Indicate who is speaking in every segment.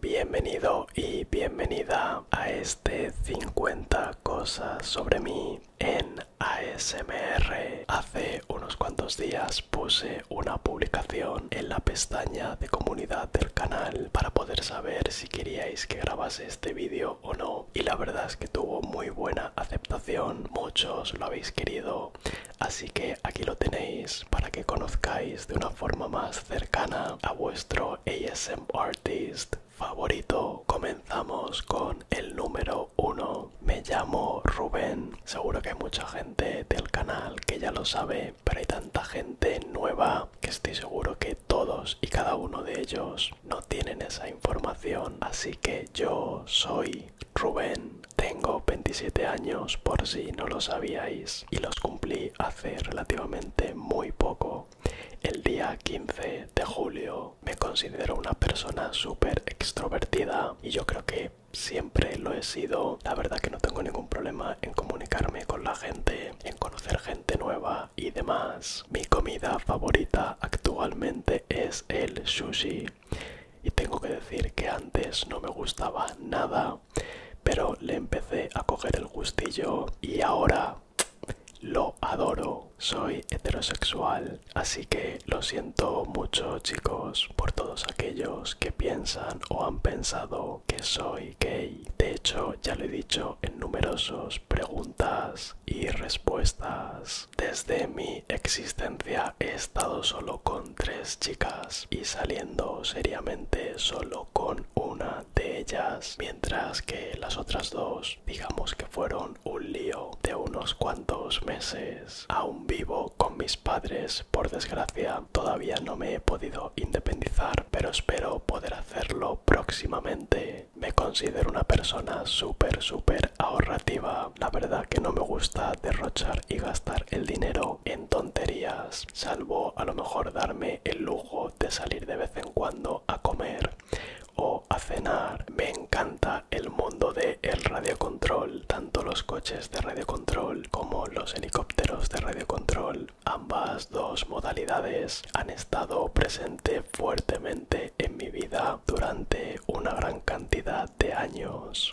Speaker 1: Bienvenido y bienvenida a este 50 cosas sobre mí en ASMR. Hace unos cuantos días puse una publicación en la pestaña de comunidad del canal para poder saber si queríais que grabase este vídeo o no. Y la verdad es que tuvo muy buena aceptación, muchos lo habéis querido, así que aquí lo tenéis para que conozcáis de una forma más cercana a vuestro ASM artist favorito. Comenzamos con el número uno. Me llamo Rubén. Seguro que hay mucha gente del canal que ya lo sabe, pero hay tanta gente nueva que estoy seguro que todos y cada uno de ellos no tienen esa información. Así que yo soy Rubén tengo 27 años por si no lo sabíais y los cumplí hace relativamente muy poco. El día 15 de julio me considero una persona súper extrovertida y yo creo que siempre lo he sido. La verdad que no tengo ningún problema en comunicarme con la gente, en conocer gente nueva y demás. Mi comida favorita actualmente es el sushi. Y tengo que decir que antes no me gustaba nada, pero le empecé a coger el gustillo y ahora lo adoro. Soy heterosexual, así que lo siento mucho chicos por todos aquellos que piensan o han pensado que soy gay. De hecho, ya lo he dicho en numerosos preguntas y respuestas. Desde mi existencia he estado solo con tres chicas y saliendo seriamente solo con una de ellas, mientras que las otras dos, digamos que fueron un lío de unos cuantos meses. Aún vivo con mis padres, por desgracia, todavía no me he podido independizar, pero espero poder hacerlo próximamente. Me considero una persona súper, súper ahorrativa la verdad que no me gusta derrochar y gastar el dinero en tonterías, salvo a lo mejor darme el lujo de salir de vez en cuando a comer o a cenar. Me encanta el mundo del el control. tanto los coches de radio control como los helicópteros de radio control, Ambas dos modalidades han estado presentes fuertemente en mi vida durante una gran cantidad de años.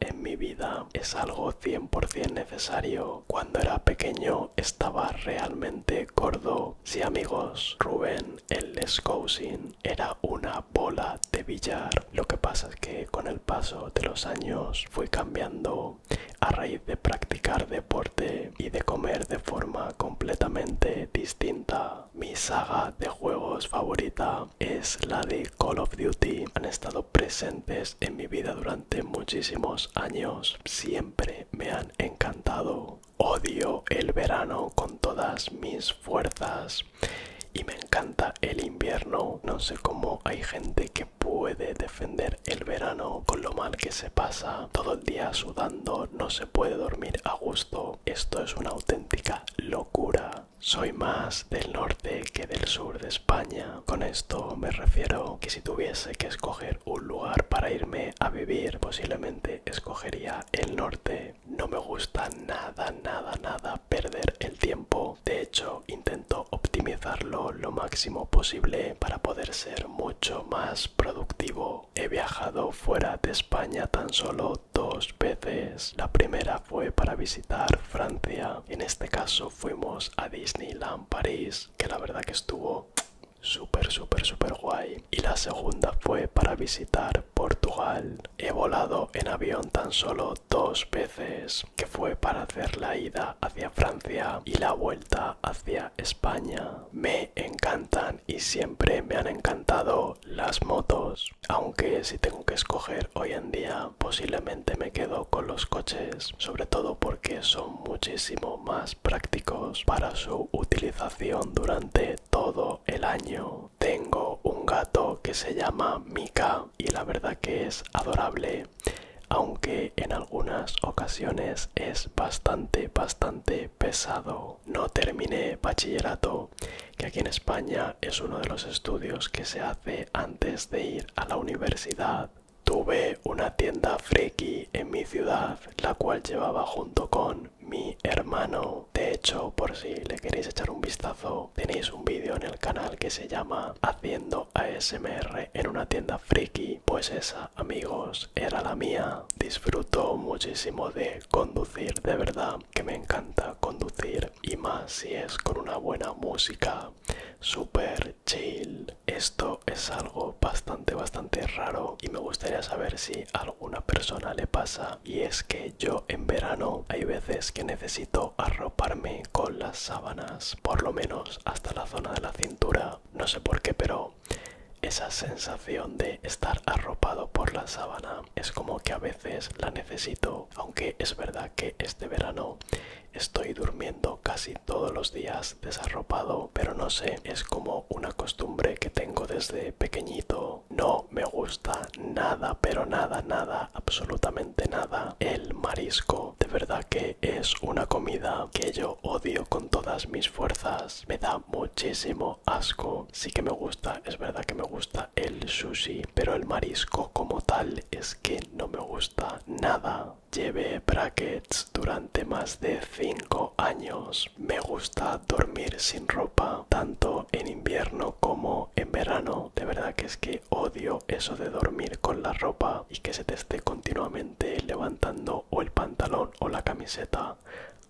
Speaker 1: en mi vida es algo 100% necesario. Cuando era pequeño estaba realmente gordo. Sí amigos, Rubén, el Lescousin, era una bola de billar. Lo que pasa es que con el paso de los años fui cambiando a raíz de practicar deporte y de comer de forma completamente distinta. Mi saga de juegos favorita es la de Call of Duty. Han estado presentes en mi vida durante muchísimos años. Siempre me han encantado. Odio el verano con todas mis fuerzas y me encanta el invierno. No sé cómo hay gente que puede defender el verano con lo mal que se pasa. Todo el día sudando, no se puede dormir a gusto. Esto es una auténtica locura soy más del norte que del sur de España. Con esto me refiero que si tuviese que escoger un lugar para irme a vivir, posiblemente escogería el norte. No me gusta nada, nada, nada perder el tiempo. De hecho, intento optimizarlo lo máximo posible para poder ser mucho más productivo. He viajado fuera de España tan solo dos veces. La primera fue para visitar Francia. En este caso fuimos a Disneyland París, que la verdad que estuvo súper, súper, super guay. Y la segunda fue para visitar Portugal. He volado en avión tan solo dos veces, que fue para hacer la ida hacia Francia y la vuelta hacia España. Me encantan y siempre me han encantado las motos, aunque si tengo que escoger hoy en día posiblemente me quedo con los coches, sobre todo porque son muchísimo más prácticos para su utilización durante todo el año. Tengo un gato que se llama Mika y la verdad que es adorable aunque en algunas ocasiones es bastante bastante pesado no, terminé bachillerato, que aquí en España es uno de los estudios que se hace antes de ir a la universidad. Tuve una tienda friki en mi ciudad, la cual llevaba junto con mi hermano. De hecho, por si le queréis echar un vistazo, tenéis un vídeo en el canal que se llama Haciendo ASMR en una tienda friki. Pues esa, amigos, era la mía. Disfruto muchísimo de conducir, de verdad que me encanta conducir y más si es con una buena música, super chill. Esto es algo bastante, bastante raro y me gustaría saber si a alguna persona le pasa y es que yo en verano hay veces que necesito arroparme con las sábanas, por lo menos hasta la zona de la cintura. No sé por qué, pero esa sensación de estar arropado por la sábana es como que a veces la necesito, aunque es verdad que este verano estoy durmiendo casi todos los días desarropado, pero no sé, es como una costumbre que tengo desde pequeñito. No me gusta nada, pero nada, nada, absolutamente nada. El marisco, de verdad que es una comida que yo odio con todas mis fuerzas. Me da muchísimo asco. Sí que me gusta, es verdad que me gusta el sushi, pero el marisco como tal es que no me gusta nada. Lleve brackets durante más de 5 años. Me gusta dormir sin ropa, tanto en invierno como en verano. De verdad que es que odio eso de dormir con la ropa y que se te esté continuamente levantando o el pantalón o la camiseta.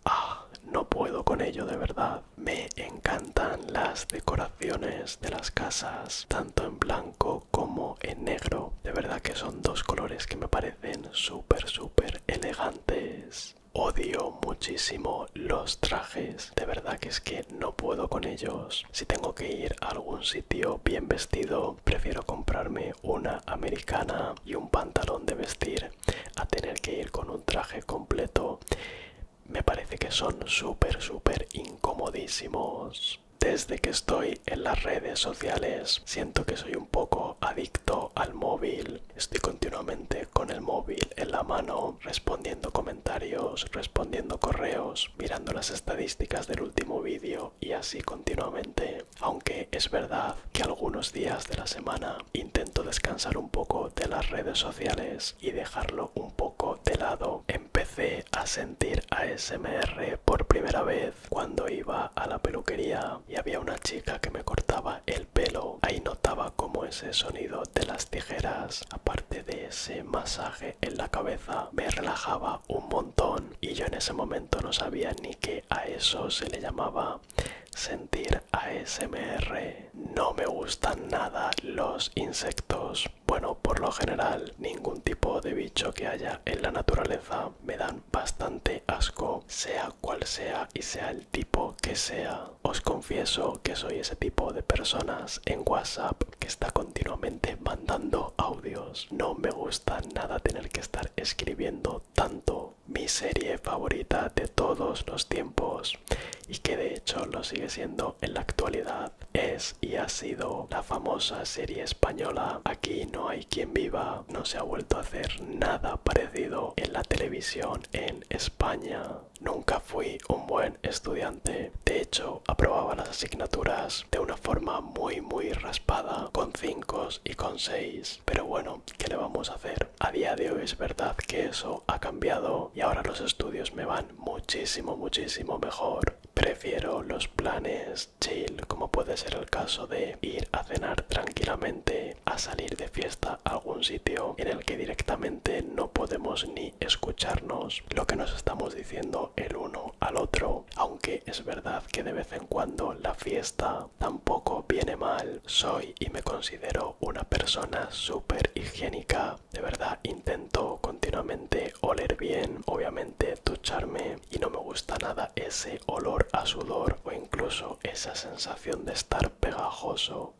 Speaker 1: Ah, no puedo con ello de verdad. Me encantan las decoraciones de las casas, tanto en blanco como en negro. De verdad que son dos colores que me parecen súper, súper elegantes. Odio muchísimo los trajes, de verdad que es que no puedo con ellos. Si tengo que ir a algún sitio bien vestido, prefiero comprarme una americana y un pantalón de vestir a tener que ir con un traje completo. Me parece que son súper, súper incomodísimos. Desde que estoy en las redes sociales, siento que soy un poco adicto al móvil. Estoy continuamente con el móvil en la mano, respondiendo comentarios, respondiendo correos, mirando las estadísticas del último vídeo y así continuamente aunque es verdad que algunos días de la semana intento descansar un poco de las redes sociales y dejarlo un poco de lado. Empecé a sentir ASMR por primera vez cuando iba a la peluquería y había una chica que me cortaba el pelo. Ahí notaba como ese sonido de las tijeras, aparte de ese masaje en la cabeza me relajaba un montón y yo en ese momento no sabía ni que a eso se le llamaba sentir ASMR. No me gustan nada los insectos. Bueno, por lo general, ningún tipo de bicho que haya en la naturaleza me dan bastante asco, sea cual sea y sea el tipo que sea. Os confieso que soy ese tipo de personas en WhatsApp que está continuamente mandando audios. No me gusta nada tener que estar escribiendo tanto mi serie favorita de todos los tiempos y que de hecho lo sigue siendo en la actualidad. Es y ha sido la famosa serie española Aquí no hay quien viva. No se ha vuelto a hacer nada parecido en la televisión en España. Nunca fui un buen estudiante. De hecho, aprobaba las asignaturas de una forma muy muy raspada, con 5 y con 6. Pero bueno, ¿qué le vamos a hacer? A día de hoy es verdad que eso ha cambiado y ahora los estudios me van muchísimo muchísimo mejor. Prefiero los planes chill, como puede ser el caso de ir a cenar tranquilamente, a salir de fiesta a algún sitio en el que directamente no podemos ni escucharnos lo que nos estamos diciendo el uno al otro, aunque es verdad que de vez en cuando la fiesta tampoco viene mal. Soy y me considero una persona súper higiénica, de verdad intento continuamente oler bien, obviamente ducharme y no me gusta nada ese olor a sudor o incluso esa sensación de estar pegajoso.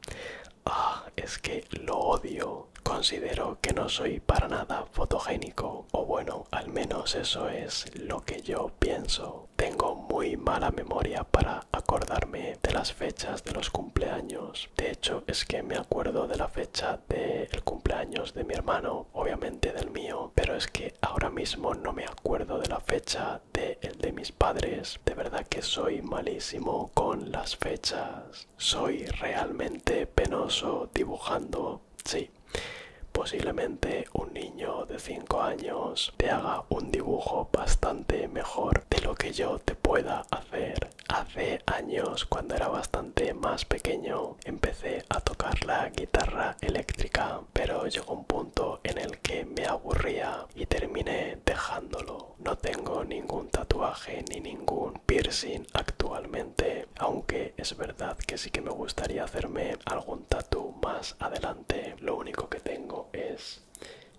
Speaker 1: Ah, es que lo odio considero que no soy para nada fotogénico, o bueno, al menos eso es lo que yo pienso. Tengo muy mala memoria para acordarme de las fechas de los cumpleaños. De hecho, es que me acuerdo de la fecha del el cumpleaños de mi hermano, obviamente del mío, pero es que ahora mismo no me acuerdo de la fecha de el de mis padres. De verdad que soy malísimo con las fechas. Soy realmente penoso dibujando, sí. Posiblemente un niño de 5 años te haga un dibujo bastante mejor de lo que yo te pueda hacer. Hace años, cuando era bastante más pequeño, empecé a tocar la guitarra eléctrica, pero llegó un punto en el que me aburría y terminé dejándolo no, tengo ningún tatuaje ni ningún piercing actualmente, aunque es verdad que sí que me gustaría hacerme algún tatu más adelante. Lo único que tengo es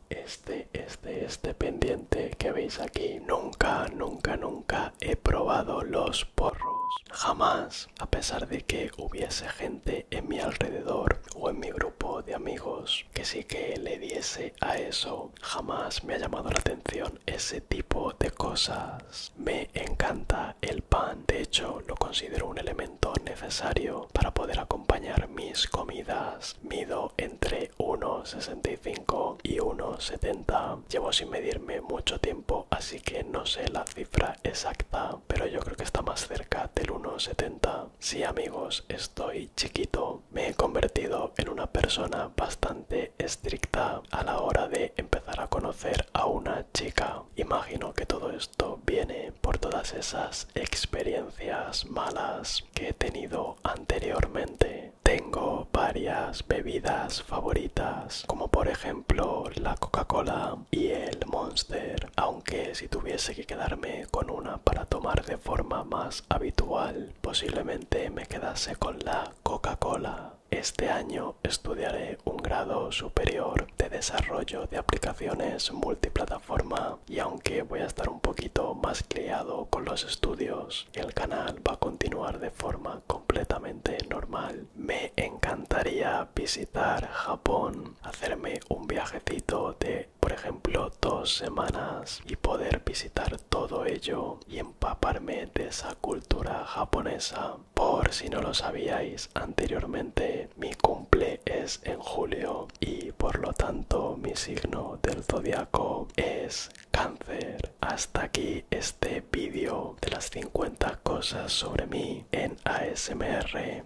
Speaker 1: este, este, este pendiente que veis aquí. Nunca, nunca, nunca he probado los porros. Jamás, a pesar de que hubiese gente en mi alrededor o en mi grupo de amigos que sí que le diese a eso jamás me ha llamado la atención ese tipo de cosas. Me encanta el pan, de hecho lo considero un elemento necesario para poder acompañar mis comidas. Mido entre 1,65 y 1,70. Llevo sin medirme mucho tiempo, así que no sé la cifra exacta, pero yo creo que está más cerca del 1,70. Sí amigos, estoy chiquito me he convertido en una persona bastante estricta a la hora de empezar a conocer a una chica. Imagino que todo esto viene por todas esas experiencias malas que he tenido anteriormente. Tengo varias bebidas favoritas, como por ejemplo la Coca-Cola y el Monster, aunque si tuviese que quedarme con una para tomar de forma más habitual, posiblemente me quedase con la Coca-Cola. Este año estudiaré un grado superior de desarrollo de aplicaciones multiplataforma y aunque voy a estar un poquito más criado con los estudios, el canal va a continuar de forma completamente normal. Me encantaría visitar Japón, hacerme un viajecito de por ejemplo, dos semanas y poder visitar todo ello y empaparme de esa cultura japonesa. Por si no lo sabíais anteriormente, mi cumple es en julio y por lo tanto mi signo del zodiaco es cáncer. Hasta aquí este vídeo de las 50 cosas sobre mí en ASMR.